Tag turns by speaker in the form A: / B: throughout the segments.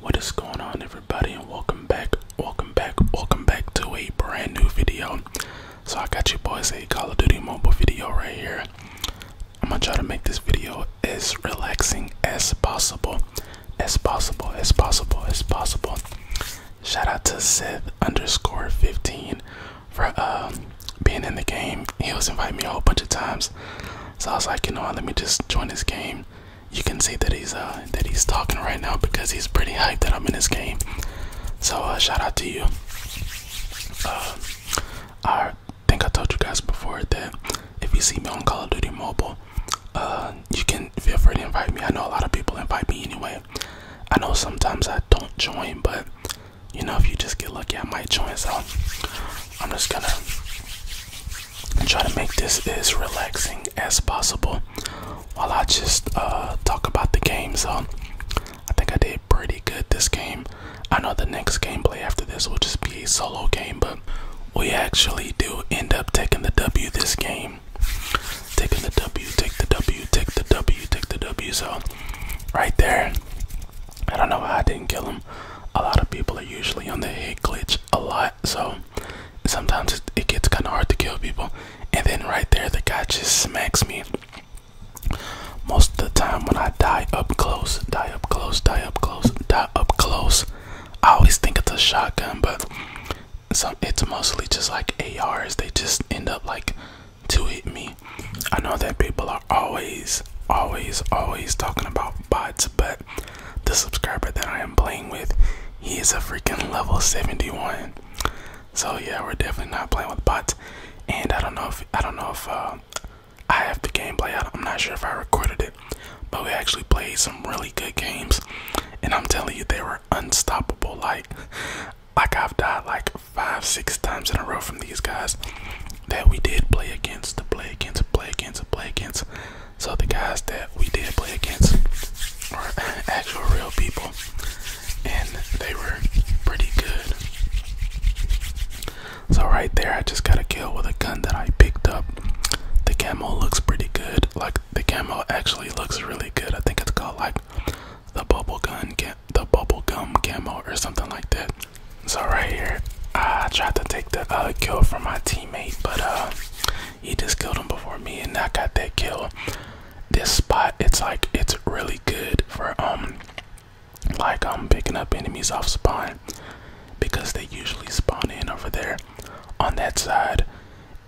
A: What is going on, everybody, and welcome back, welcome back, welcome back to a brand new video. So, I got you boys a Call of Duty mobile video right here. I'm gonna try to make this video as relaxing as possible, as possible, as possible, as possible. Shout out to Seth underscore 15 for uh, being in the game. He was inviting me a whole bunch of times, so I was like, you know, what, let me just join this game. You can see that he's uh, that he's talking right now because he's pretty hyped that I'm in this game. So uh, shout out to you. Uh, I think I told you guys before that if you see me on Call of Duty Mobile, uh, you can feel free to invite me. I know a lot of people invite me anyway. I know sometimes I don't join, but you know, if you just get lucky, I might join. So I'm just gonna try to make this as relaxing as possible while I just uh, talk about the game. So I think I did pretty good this game. I know the next gameplay after this will just be a solo game, but we actually do end up taking the W this game. Taking the W, take the W, take the W, take the W. So right there. I don't know why I didn't kill him. A lot of people are usually on the hit glitch a lot, so sometimes it, gets kind of hard to kill people. And then right there, the guy just smacks me. Most of the time, when I die up close, die up close, die up close, die up close, I always think it's a shotgun, but some it's mostly just like ARs. They just end up like to hit me. I know that people are always, always, always talking about bots, but the subscriber that I am playing with, he is a freaking level 71. So yeah, we're definitely not playing with bots. And I don't know if I don't know if uh, I have the gameplay. out. I'm not sure if I recorded it, but we actually played some really good games, and I'm telling you, they were unstoppable. Like like I've died like five, six times in a row from these guys that we did play against, to play against, play against, play against. So the guys that we did play against were actual real people, and they were pretty good. So right there, I just got a kill with a gun that I picked up. The camo looks pretty good. Like the camo actually looks really good. I think it's called like the bubble gun, the bubble gum camo or something like that. So right here, I tried to take the uh, kill from my teammate, but uh, he just killed him before me, and I got that kill. This spot, it's like it's really good for um, like I'm um, picking up enemies off spawn because they usually spawn in over there on that side,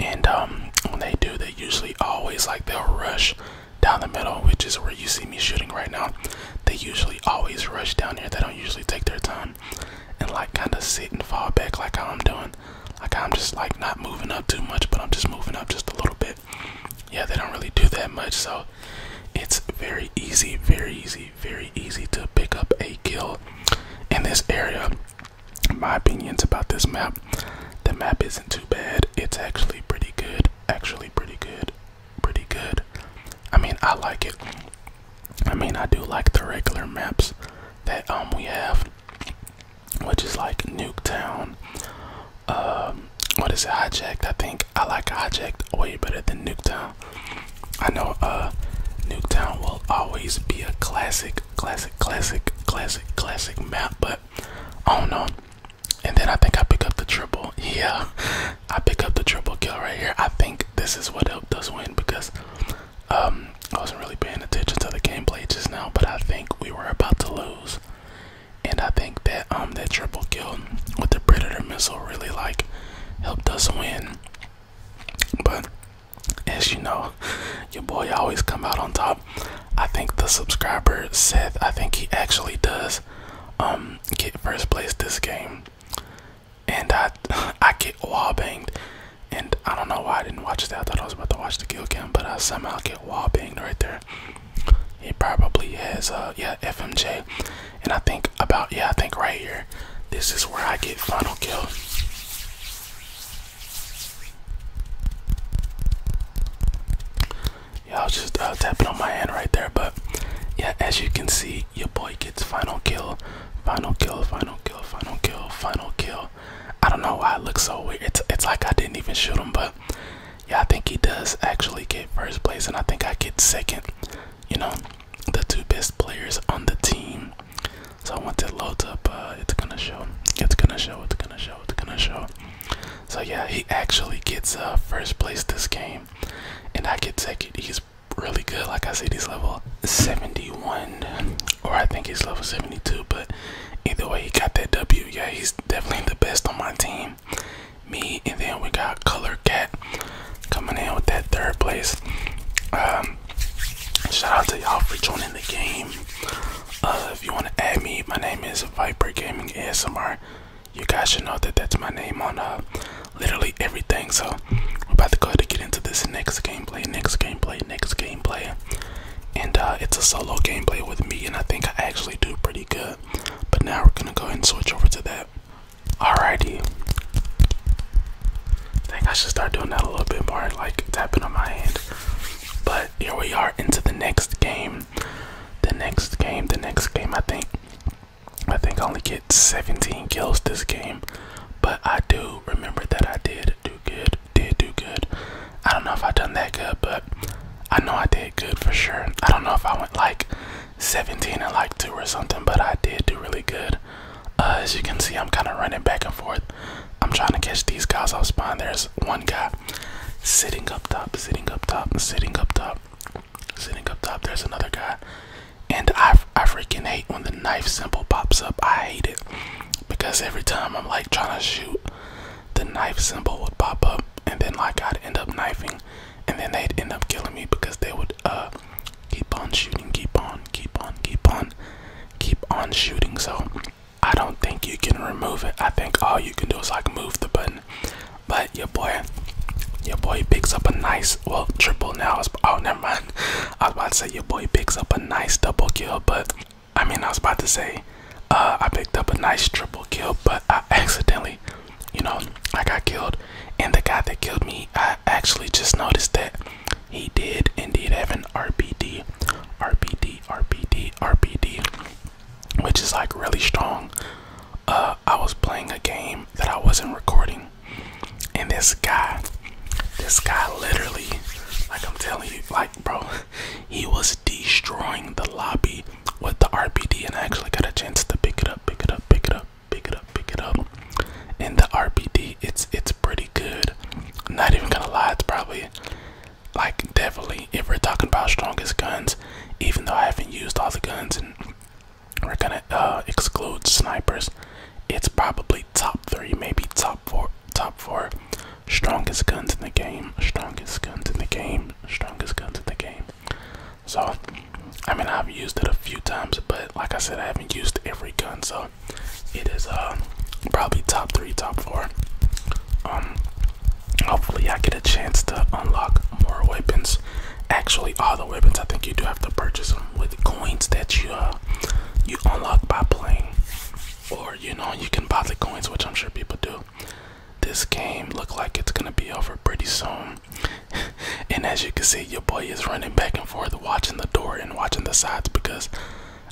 A: and um, when they do, they usually always like they'll rush down the middle, which is where you see me shooting right now, they usually always rush down here. They don't usually take their time and like kind of sit and fall back like how I'm doing. Like I'm just like not moving up too much, but I'm just moving up just a little bit. Yeah, they don't really do that much, so it's very easy, very easy, very easy to pick up a kill in this area. My opinions about this map the map isn't too bad. It's actually pretty good. Actually pretty good. Pretty good. I mean, I like it. I mean, I do like the regular maps that um we have, which is like Nuketown. Um, what is it? Hijacked. I think I like Hijacked way better than Nuketown. I know uh, Nuketown will always be a classic, classic, classic, classic, classic map, but I don't know. And then I think I pick up the triple. Yeah, I pick up the triple kill right here. I think this is what helped us win because um, I wasn't really paying attention to the gameplay just now, but I think we were about to lose. And I think that um that triple kill with the predator missile really like helped us win. But as you know, your boy always come out on top. I think the subscriber Seth, I think he actually does um, get first place this game. And I I get wall banged. And I don't know why I didn't watch that. I thought I was about to watch the kill cam, but I somehow get wall banged right there. He probably has uh yeah FMJ. And I think about yeah, I think right here. This is where I get final kill. Yeah, I was just uh, tapping on my hand right there, but yeah, as you can see, your boy gets final kill, final kill, final kill, final kill, final kill. I don't know why it looks so weird. It's it's like I didn't even shoot him, but yeah, I think he does actually get first place, and I think I get second. You know, the two best players on the team. So I want to load up, uh, it's gonna show. It's gonna show. It's gonna show show. gonna show. So yeah, he actually gets uh, first place this game, and I get second. He's really good. Like I said, he's level 71, or I think he's level 72. But either way, he got that W. Yeah, he's definitely the best on my team. Me, and then we got Color Cat coming in with that third place. Um, shout out to y'all for joining the game. Uh, if you want to add me, my name is Viper Gaming ASMR. You guys should know that that's my name on uh, literally everything. So we're about to go ahead and get into this next gameplay, next gameplay, next gameplay. And uh, it's a solo gameplay with me, and I think I actually do pretty good. But now we're gonna go ahead and switch over to that. Alrighty. I think I should start doing that a little bit more, like tapping on my hand. But here we are into the next game. The next game, the next game. I think, I think I only get 17 kills this game, but I do remember that I did do good. Did do good. I don't know if I done that good, but I know I did good for sure. I don't know if I went like 17 and like two or something, but I did do really good. Uh, as you can see, I'm kind of running back and forth. I'm trying to catch these guys off spawn. There's one guy sitting up top, sitting up top, sitting up top, sitting up top. There's another guy, and I I freaking hate when the knife symbol pops up. I hate it because every time I'm like trying to shoot, the knife symbol would pop up, and then like I'd end up knifing, and then they'd end up killing me because they would uh keep on shooting, keep on, keep on, keep on, keep on shooting. So I don't think you can remove it. I think all you can do is like move the button. But your boy, your boy picks up a nice, well, triple now. oh, never mind. I was about to say your boy picks up a nice double kill, but I mean, I was about to say uh, I picked up a nice triple kill, but I accidentally, you know, I got killed. And the guy that killed me, I actually just noticed that he did indeed have an RPD, RPD, RPD, RPD, which is like really strong. Uh, I was playing a game that I wasn't recording, and this guy, this guy literally, like I'm telling you, like bro, he was destroying the lobby with the RPD, and I actually got a chance to pick it up, pick it up, pick it up, pick it up, pick it up, and the RPD it's it's pretty good. not even gonna lie, it's probably like definitely if we're talking about strongest guns, even though I haven't used all the guns and we're gonna uh, exclude snipers, it's probably top three, maybe top four, top four strongest guns in the game, strongest guns in the game, strongest guns in the game. So, I mean, I've used it a few times, but like I said, I haven't used every gun, so it is uh probably top three, top four. Um, hopefully I get a chance to unlock more weapons. Actually, all the weapons I think you do have to purchase them with coins that you uh you unlock by playing, or you know you can buy the coins, which I'm sure people do. This game look like it's gonna be over pretty soon. and as you can see, your boy is running back and forth, watching the door and watching the sides because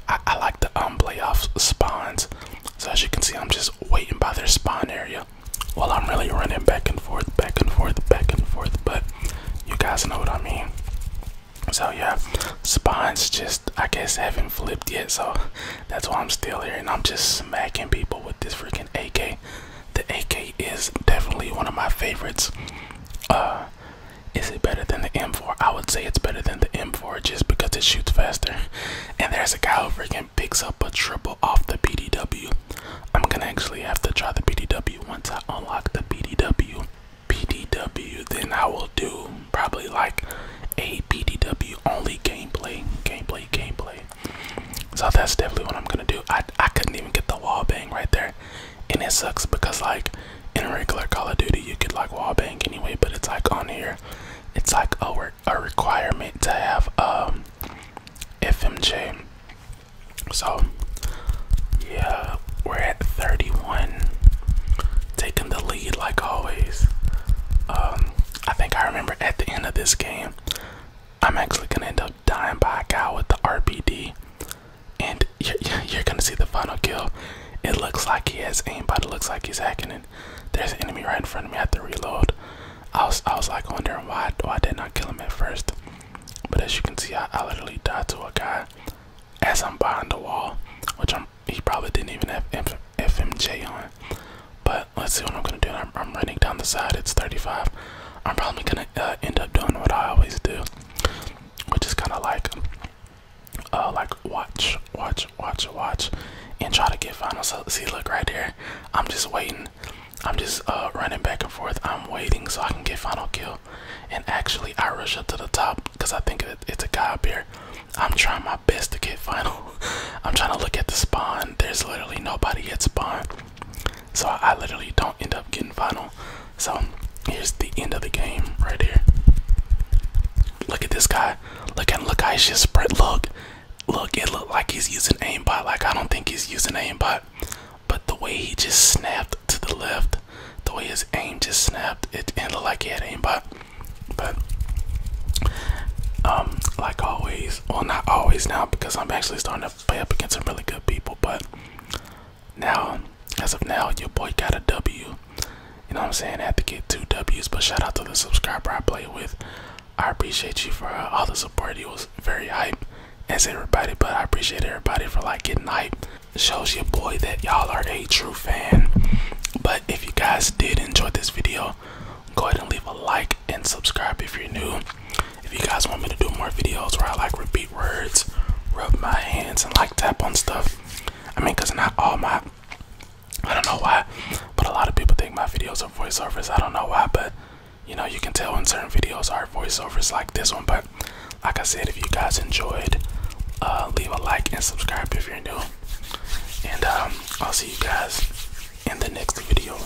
A: I, like the um off spawns. So as you can see, I'm just waiting by their spawn area. Well, I'm really running back and forth, back and forth, back and forth, but you guys know what I mean. So yeah, spawns just I guess haven't flipped yet, so that's why I'm still here and I'm just smacking people with this freaking AK. The AK is definitely one of my favorites. Uh, is it better than the M4? I would say it's better than the M4 just because it shoots faster. And there's a guy who freaking picks up a triple off the PDW. I'm gonna actually have to try the PDW once I unlock the PDW. PDW, then I will do probably like a PDW only gameplay, gameplay, gameplay. So that's definitely what I'm gonna do. I I couldn't even get the wall bang right there, and it sucks because like in regular Call of Duty, you could like wallbang anyway, but it's like on here, it's like a work a requirement to have um FMJ. So yeah, we're at 31, taking the lead like always. Um, I think I remember at the end of this game, I'm actually gonna end up dying by a guy with the RPD and you're, gonna see the final kill. It looks like he has aimbot. It looks like he's hacking it. There's an enemy right in front of me. I have to reload. I was I was like wondering why why I did not kill him at first, but as you can see, I, literally died to a guy as I'm behind the wall, which I'm he probably didn't even have FMJ on. But let's see what I'm gonna do. I'm, running down the side. It's 35. I'm probably gonna uh, end up doing what I always do, which is kind of like uh, like watch, watch, watch, watch, and try to get final. So see, look right there. I'm just waiting. I'm just uh, running back and forth. I'm waiting so I can get final kill. And actually, I rush up to the top because I think it's a guy up here. I'm trying my best to get final. I'm trying to look at the spawn. There's literally nobody at spawn. So I literally don't end up getting final. So here's the end of the game right here. Look at this guy. Look at look how he's just spread. Look, look. It look like he's using aimbot. Like I don't think he's using aimbot, but the way he just snapped to the left, the way his aim just snapped, it, it looked like he had aimbot. But um, like always, well not always now because I'm actually starting to play up against some really good people, but now, as of now, your boy got a W. You know what I'm saying? I had to get two W's, but shout out to the subscriber I play with. I appreciate you for all the support. You was very hype as everybody, but I appreciate everybody for like getting hype. shows your boy that y'all are a true fan. But if you guys did enjoy this video, go ahead and leave a like and subscribe if you're new. If you guys want me to do more videos where I like review words, rub my hands, and like tap on stuff. I mean, because not all my, I don't know why, but a lot of people think my videos are voiceovers. I don't know why, but you know, you can tell when certain videos are voiceovers like this one. But like I said, if you guys enjoyed, uh, leave a like and subscribe if you're new. And um, I'll see you guys in the next video.